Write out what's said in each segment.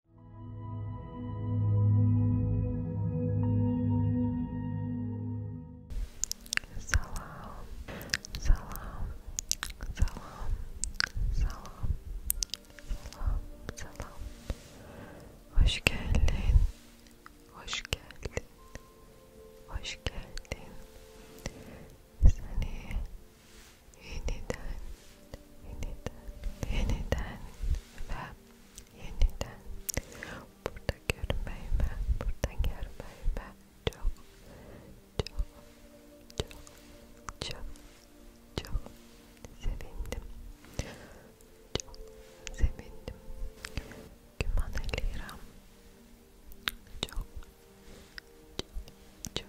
Salam, salam, salam, salam, salam, salam. Hoş geldin, hoş geldin, hoş geldin. Seni yeniden yeniden, yeniden ve yeniden burada görmeyi ve burada görmeyi ve çok, çok, çok, çok, çok sevindim. Çok sevindim. Güman Eliram. Çok, çok, çok, çok,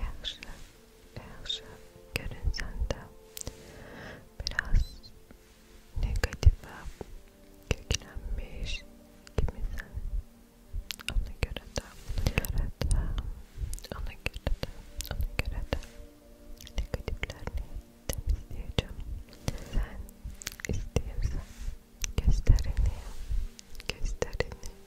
Yakşı, yakşı görünsen de biraz negatife köklenmiş kimisen ona göre de, ona göre de, ona göre de, ona göre de negatiflerini temizleyeceğim. Sen istiyorsan gösterini, gösterini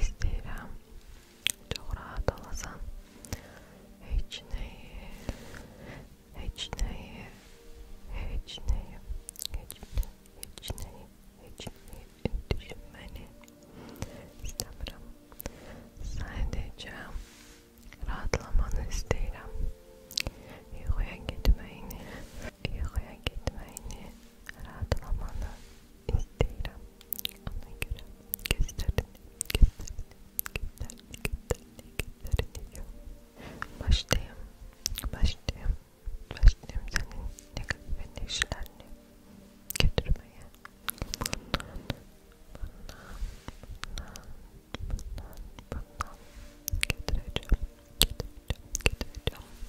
istəyirəm çox rahat olasan heç nəyi heç nəyi heç nəyi heç nəyi heç nəyi heç nəyi düşünməni istəmirəm sadəcə rahatlamanı istəyirəm yuxuya getməyini Uykuya gitmeni, rahatlamanı isterim. Ona göre gözlerini, gözlerini, gözlerini, gözlerini, gözlerini yok. Başlayayım, başlayayım, başlayayım senin negatif enerjilerini götürmeye. Bundan, bundan, bundan, bundan, bundan getireceğim, getireceğim, getireceğim.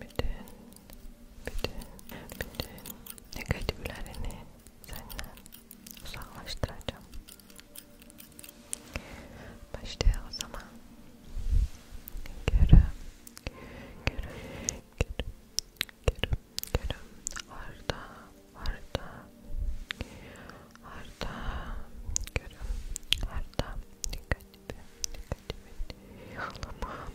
bütün, bütün, bütün negatiflerini senden uzaklaştıracağım. Başlayalım o zaman. Görüm, görüm, görüm, görüm, görüm. Arda, arda, arda, görüm, arda. Dikkatli, dikkatli. Yalama,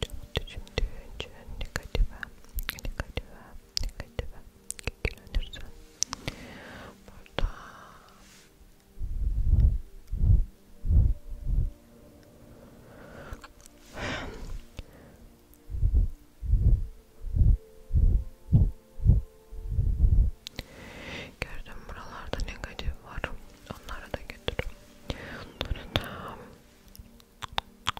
çok düşündüğün için negatife, negatife, negatife yüklenirsin. Burada Gördüm buralarda negatif var. Onlara da götür. Onları da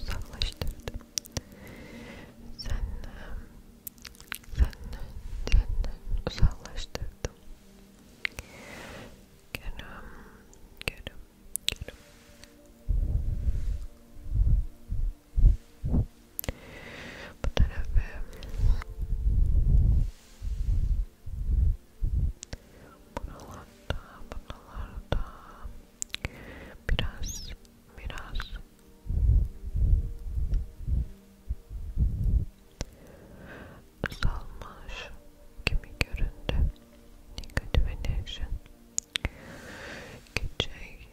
uzaklaştırdım. Senden, senden, senden uzaklaştırdım. Görüm, görüm, görüm. Bu tarafı Buralarda, buralarda biraz, biraz azalmış gibi göründü. Negative enerji. Gidecek. Gece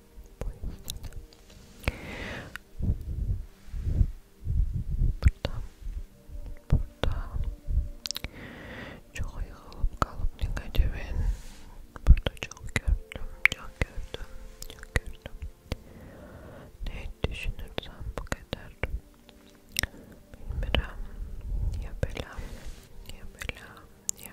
Buradan, buradan çok yığılıp kalıp ne kadar burada çok gördüm, çok gördüm, çok gördüm. Ne düşünürsem bu kadar. Bilmiyorum. Ya bela, ya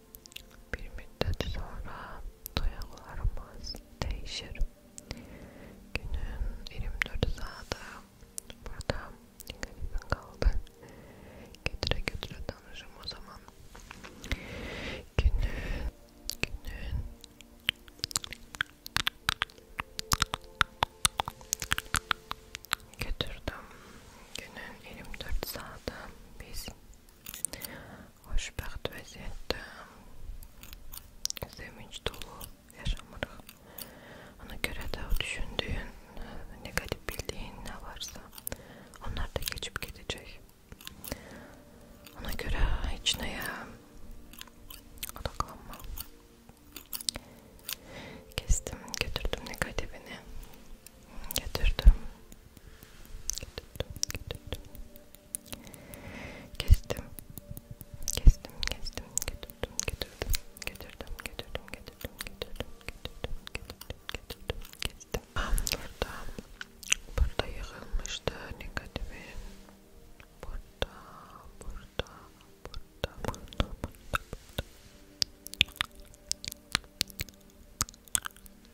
Bir müddet sonra duygularımız değişir. Günün 24 saati burada garibim kaldı. Götüre götüre tanışım o zaman. Günün, günün götürdüm. Günün 24 saati biz xoşbəxt vəziyyətdə sevinç dolu yaşamırıq. Ona görə də o düşündüyün, negativ bildiyin nə varsa, onlar da keçib gedəcək. Ona görə heç nəyə odaqlanma. Kestim, götürdüm negativini. Getirdim. Getirdim, getirdim. Kestim. Kestim, kestim. Getirdim, getirdim. Getirdim, getirdim, getirdim, getirdim, getirdim, getirdim, getirdim, kestim. Ah, burada, burada yığılmıştı negatifin. Burada, burada, burada, burada, burada.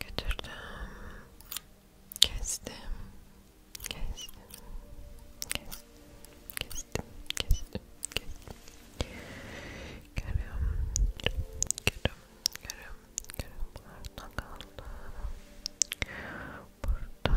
Götürdüm. Kestim. Kestim. Kestim. Kestim. Kestim. Kestim. Görüyorum. Görüyorum. Görüyorum. Görüyorum. Burada kaldı. Burada.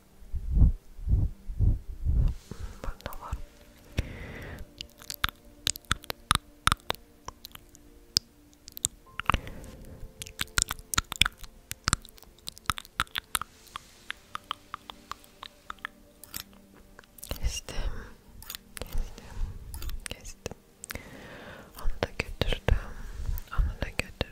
Burada var. Kestim. Kestim. Kestim. Onu da götürdüm. Onu da götürdüm.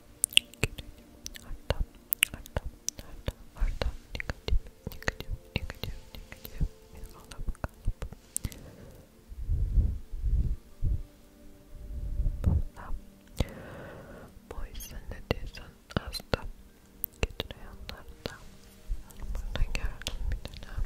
Arda, Arda, Arda, Arda, negatif, negatif, negatif, negatif bir kalıp, kalıp. Bunda, bu yüzden ne diyorsan hasta getiriyorlar da. Buradan gördüm bir dönem.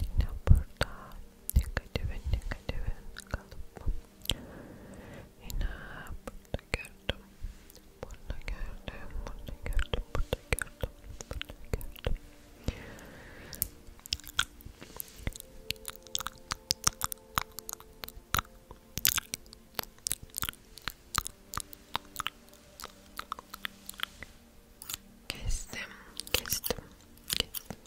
Yine burada negatifin negatifin kalıp yine burada gördüm burada gördüm burada gördüm burada gördüm burada gördüm Kestim, kestim, kestim.